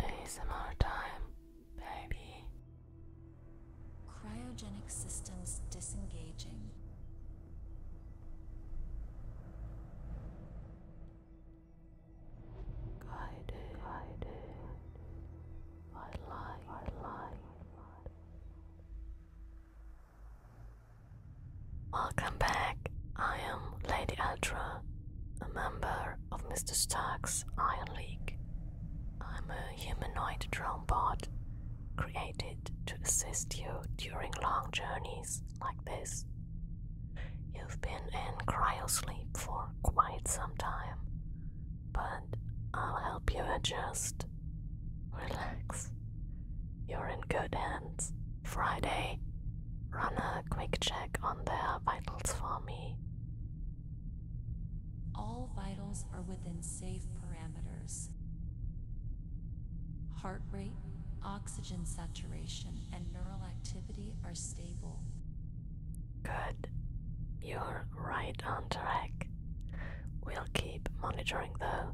ASMR time, baby. Cryogenic systems disengaging. Guided, guided. I lie, I lie. Welcome back. I am Lady Atra, a member of Mr. Stark's Iron League. I'm a humanoid drone bot created to assist you during long journeys like this. You've been in cryosleep for quite some time, but I'll help you adjust. Relax. You're in good hands. Friday, runner quick check on their vitals for me. All vitals are within safe parameters. Heart rate, oxygen saturation, and neural activity are stable. Good. You're right on track. We'll keep monitoring though,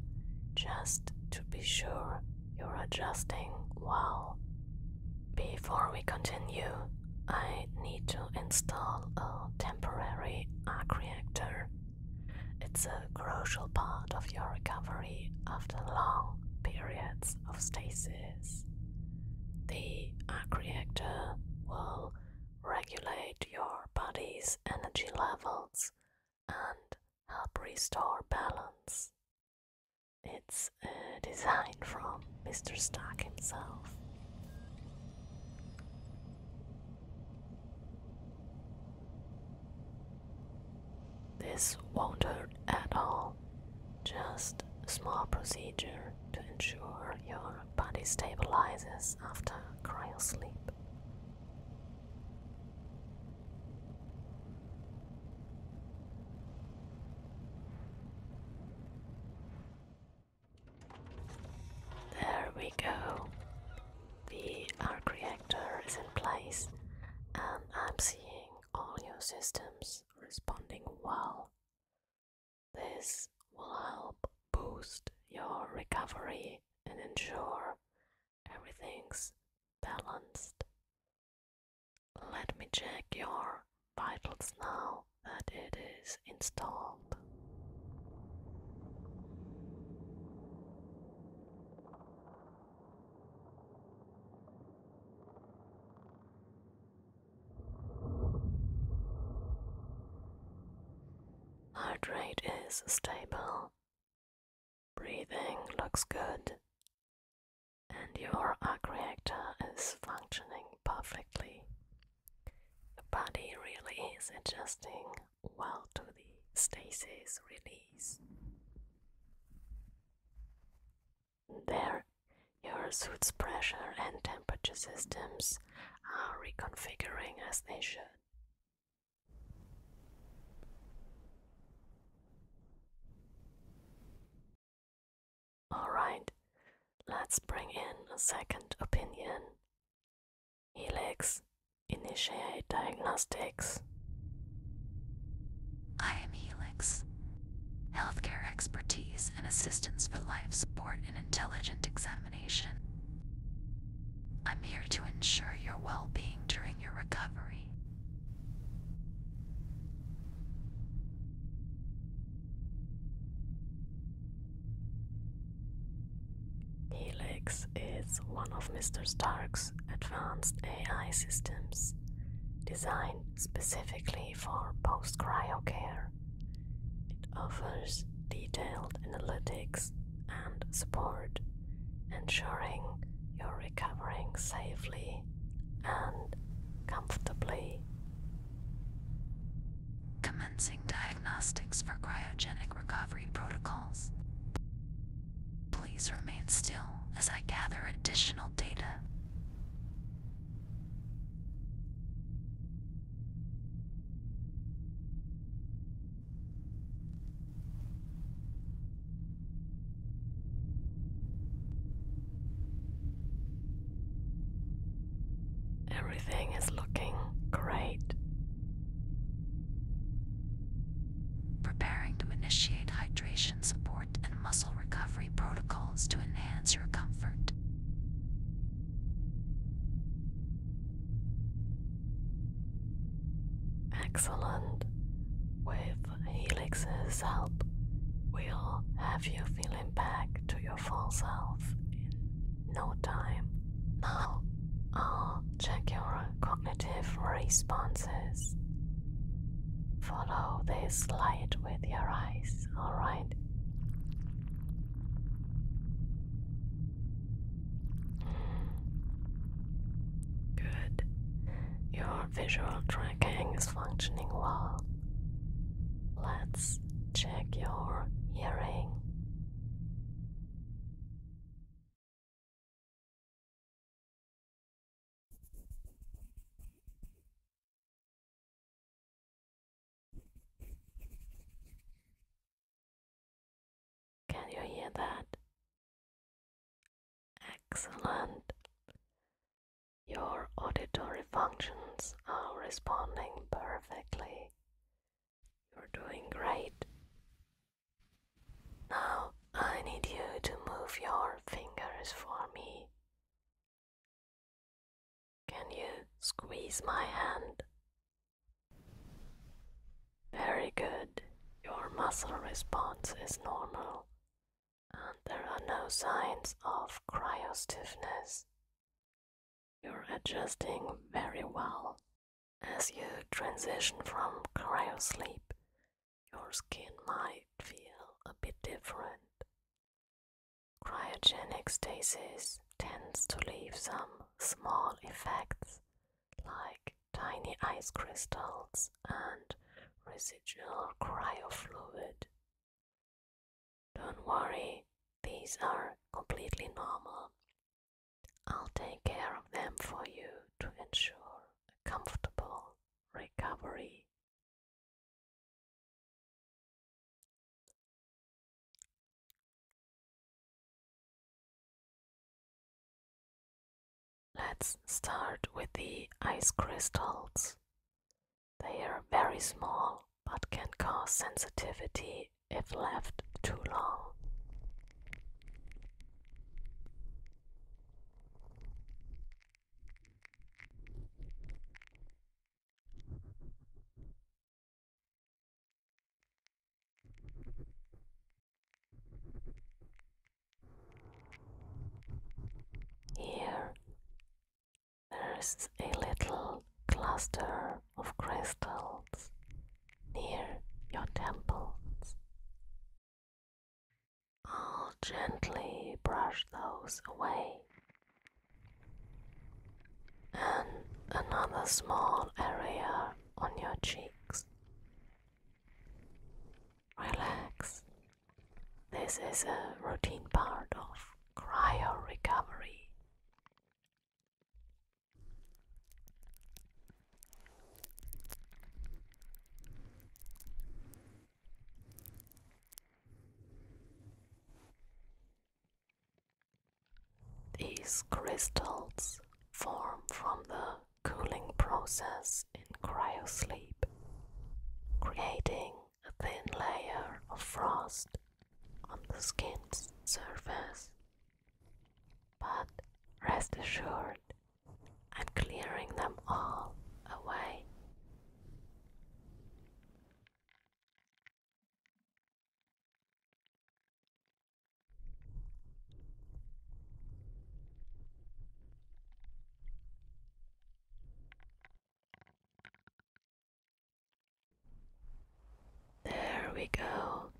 just to be sure you're adjusting well. Before we continue, I need to install a temporary arc It's a crucial part of your recovery after long periods of stasis. The arc will regulate your body's energy levels and help restore balance. It's a design from Mr. Stark himself. This won't hurt at all, just a small procedure to ensure your body stabilizes after cryo sleep. There we go. The arc reactor is in place, and I'm seeing all your systems responding well. This will help boost your recovery and ensure everything's balanced let me check your vitals now that it is installed. Heart rate is stable. Breathing looks good and your arc reactor is functioning perfectly. The body really is adjusting well to the stasis release. There, your suit's pressure and temperature systems are reconfiguring as they should. Alright, let's bring in a second opinion. Helix, initiate diagnostics. I am Helix. Healthcare expertise and assistance for life support and intelligent examination. I'm here to ensure your well being during your recovery. Helix is one of Mr. Stark's advanced AI systems designed specifically for post cryo care. It offers detailed analytics and support, ensuring you're recovering safely and comfortably. Commencing diagnostics for cryogenic recovery protocols. Please remain still as I gather additional data. Everything is looking great. Preparing to initiate hydration support and muscle recovery protocols to enhance your comfort. Excellent. With Helix's help, will have you feeling back to your full self in no time. Now, I'll check your cognitive responses. Follow this light with your eyes, alright? Good. Your visual tracking is functioning well. Let's check your hearing. Can you hear that? Excellent. Your auditory functions are responding perfectly. You're doing great. Now I need you to move your fingers for me. Can you squeeze my hand? Very good. Your muscle response is normal there are no signs of cryostiffness. You're adjusting very well. As you transition from cryosleep, your skin might feel a bit different. Cryogenic stasis tends to leave some small effects like tiny ice crystals, and residual cryofluid. Don't worry, these are completely normal. I'll take care of them for you to ensure a comfortable recovery. Let's start with the ice crystals. They are very small but can cause sensitivity if left too long. Here there's a little cluster of crystals near your temples. I'll gently brush those away. And another small area on your cheeks Relax. This is a routine part of cryo recovery. These crystals form from the cooling process in cryosleep, creating a thin layer of frost on the skin's surface. But rest assured, I'm clearing them all away. There we go.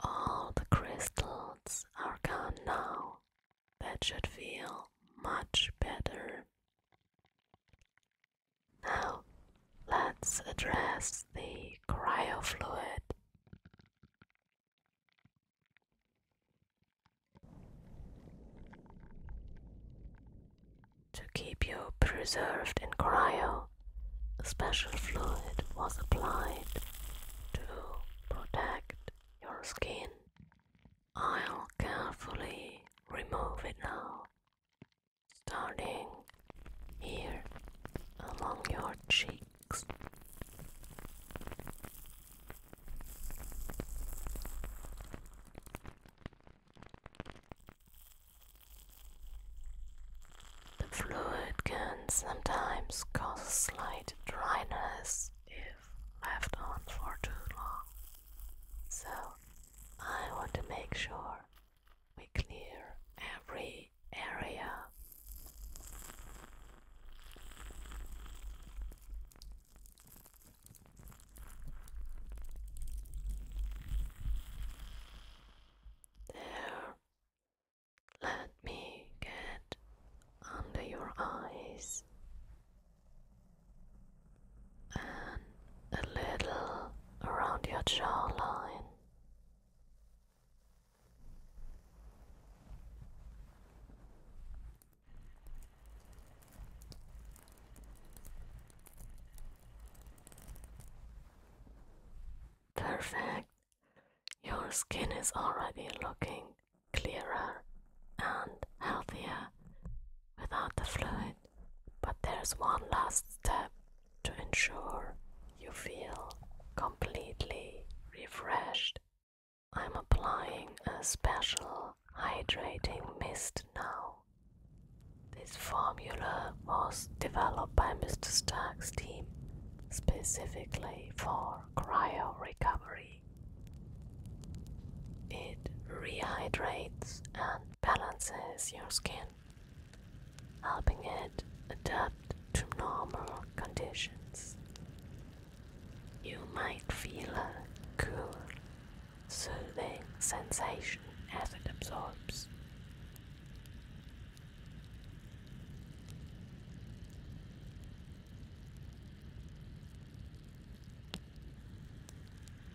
All the crystals are gone now. That should feel much better. Now, let's address the cryofluid. To keep you preserved in cryo, a special fluid was applied to protect your skin. I'll carefully remove it now, starting here along your cheek. The fluid can sometimes cause slight dryness if left on for too long. So, I want to make sure we clear every area there. Let me get under your eyes and a little around your jawline. Perfect. Your skin is already looking clearer and healthier without the fluid, but there's one last step to ensure you feel completely refreshed I'm applying a special hydrating mist now. This formula was developed by Mr. Stark's team specifically for cryo recovery. It rehydrates and balances your skin, helping it adapt to normal conditions. You might feel a cool, soothing sensation as it absorbs.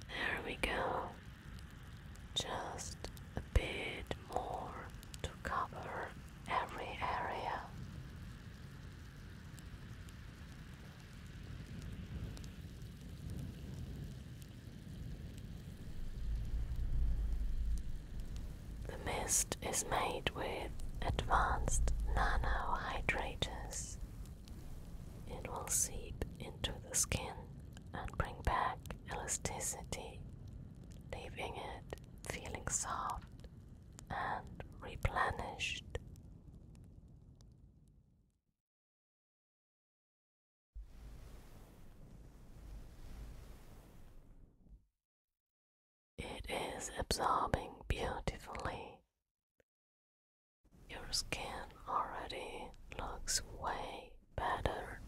There we go. Just a bit more to cover every area. The mist is made with advanced nanohydrators. It will seep into the skin and bring back elasticity, leaving it feeling soft and replenished. It is absorbing beautifully. Your skin already looks way better.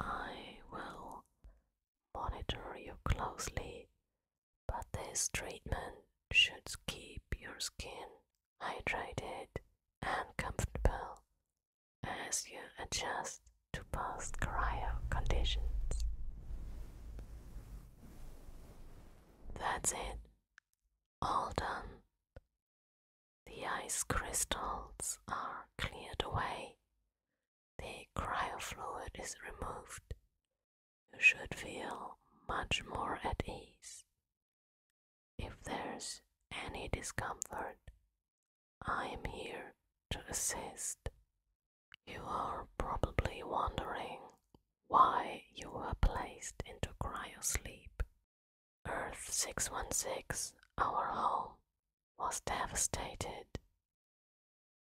I will monitor you closely, but this treatment should keep your skin hydrated and comfortable as you adjust to post cryo conditions. That's it, all done. The ice crystals are cleared away the cryofluid is removed, you should feel much more at ease. If there's any discomfort, I am here to assist. You are probably wondering why you were placed into cryo sleep. Earth 616, our home, was devastated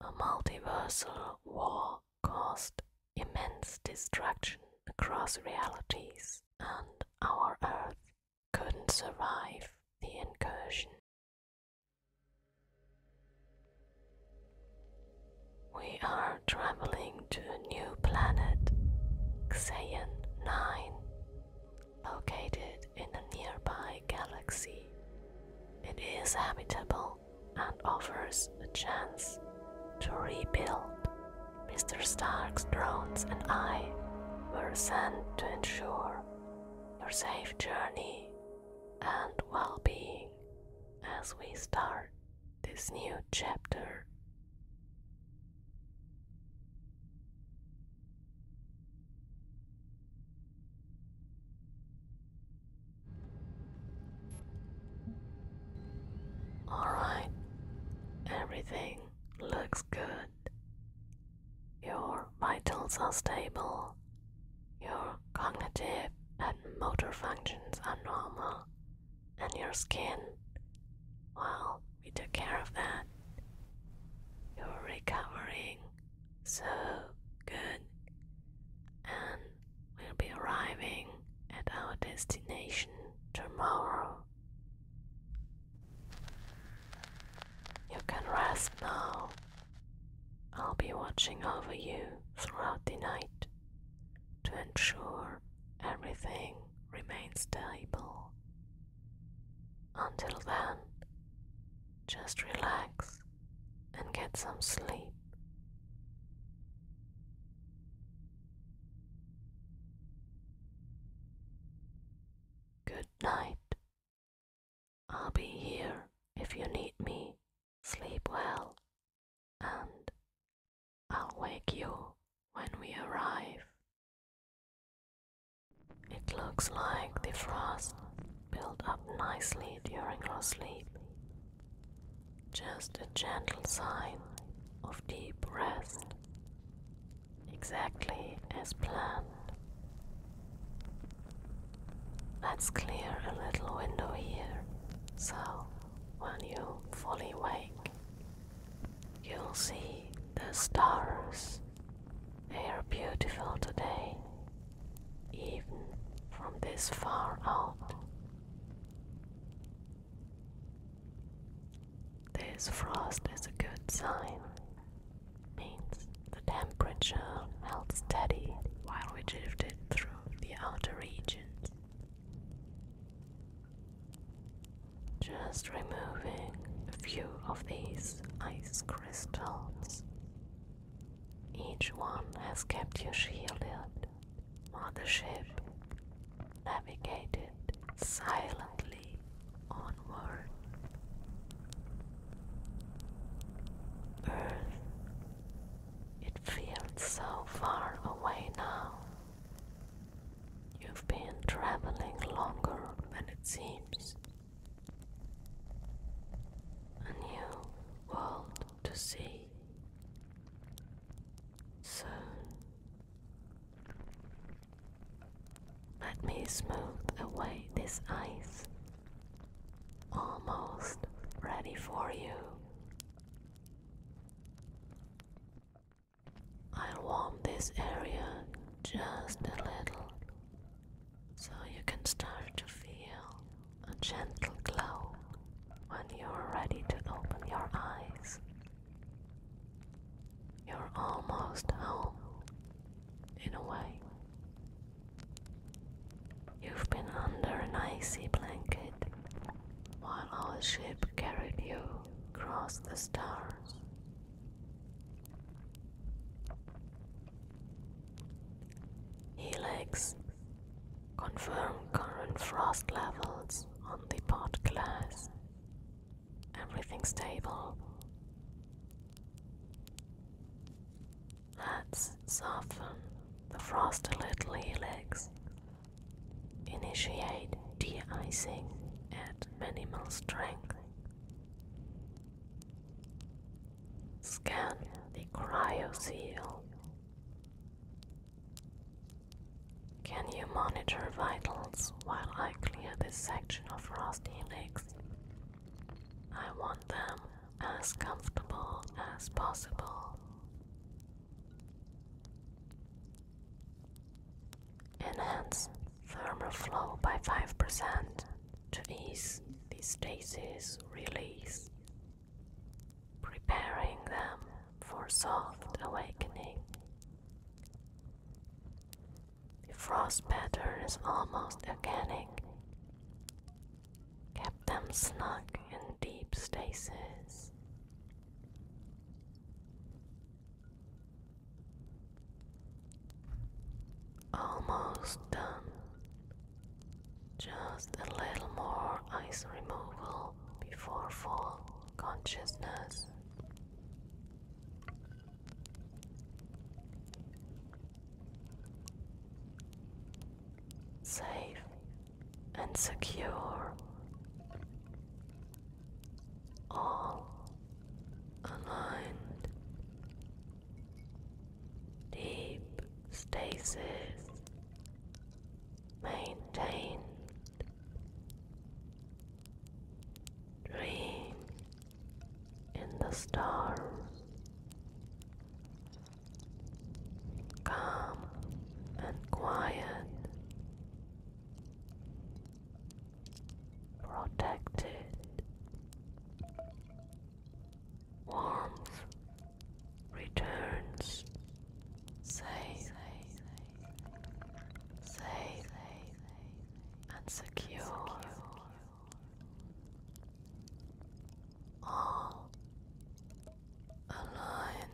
a multiversal war caused immense destruction across realities, and our Earth couldn't survive the incursion. We are traveling to a new planet, Xeon 9, located in a nearby galaxy. It is habitable and offers a chance to rebuild. Mr. Stark's drones and I were sent to ensure your safe journey and well being as we start this new chapter. Alright, everything looks good. Your vitals are stable, your cognitive and motor functions are normal, and your skin, well, we took care of that. You're recovering so good, and we'll be arriving at our destination tomorrow. You can rest now. I'll be watching over you throughout the night to ensure everything remains stable. Until then, just relax and get some sleep. Good night. I'll be here if you need me. Sleep well, and I'll wake you when we arrive. It looks like the frost built up nicely during your sleep. Just a gentle sign of deep rest, exactly as planned. Let's clear a little window here so when you fully wake, you'll see the stars. They are beautiful today, even from this far out. This frost is a good sign. Means the temperature held steady while we drifted through the outer regions. Just removing a few of these ice crystals each one has kept you shielded while the ship navigated silently onward. Earth, it feels so far away now. You've been traveling longer than it seems a new world to see. So let me smooth away this ice, almost ready for you. I'll warm this area just a little so you can start to feel a gentle glow when you're ready to open your eyes. You're almost home, in a way. You've been under an icy blanket while our ship carried you across the stars Helix. Confirm current frost levels on the pod glass. Everything stable. Let's soften the frost a little, Helix. Initiate de-icing at minimal strength. Scan the cryo seal. Can you monitor vitals while I clear this section of Rust Helix? I want them as comfortable as possible. Enhance thermal flow by 5% to ease the stasis release, preparing them for soft awakening. The frost pattern is almost organic. Kept them snug in deep stasis. Almost done. Just a little more ice removal before full consciousness. Safe and secure. All aligned deep stasis maintained. Dream in the stars, calm and quiet protected warmth returns safe safe and secure all align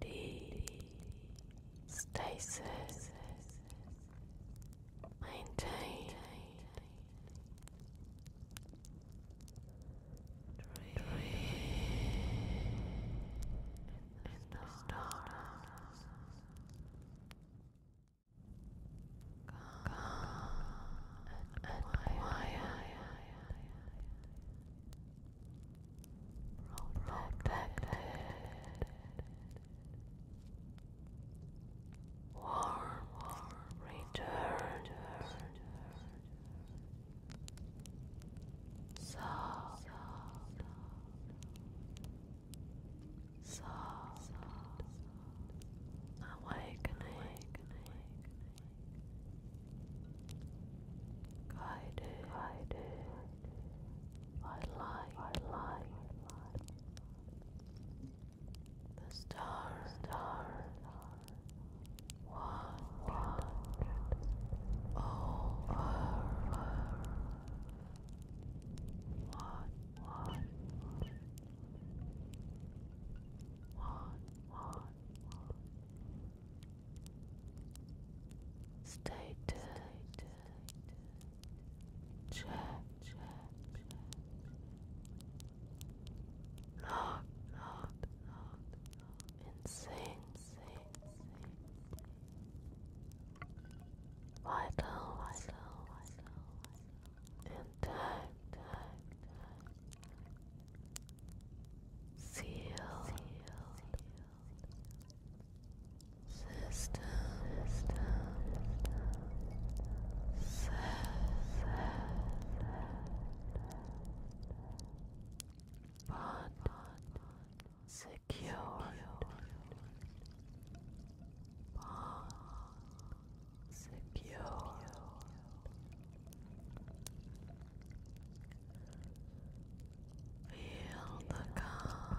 D stasis Maintain. Dream. Dream. The stars. Calm, and, quiet protected, warm, returned, soft, soft, awakening, guided, I lie, I lie, I lie. The star, star, one, one, over, one, one, one, one. Stated, stated. Check, check, check. Not, not, not, not. Insane, insane, Vital, vital, vital. And time, time, seal. System, system, system, secure, secure, Feel the calm.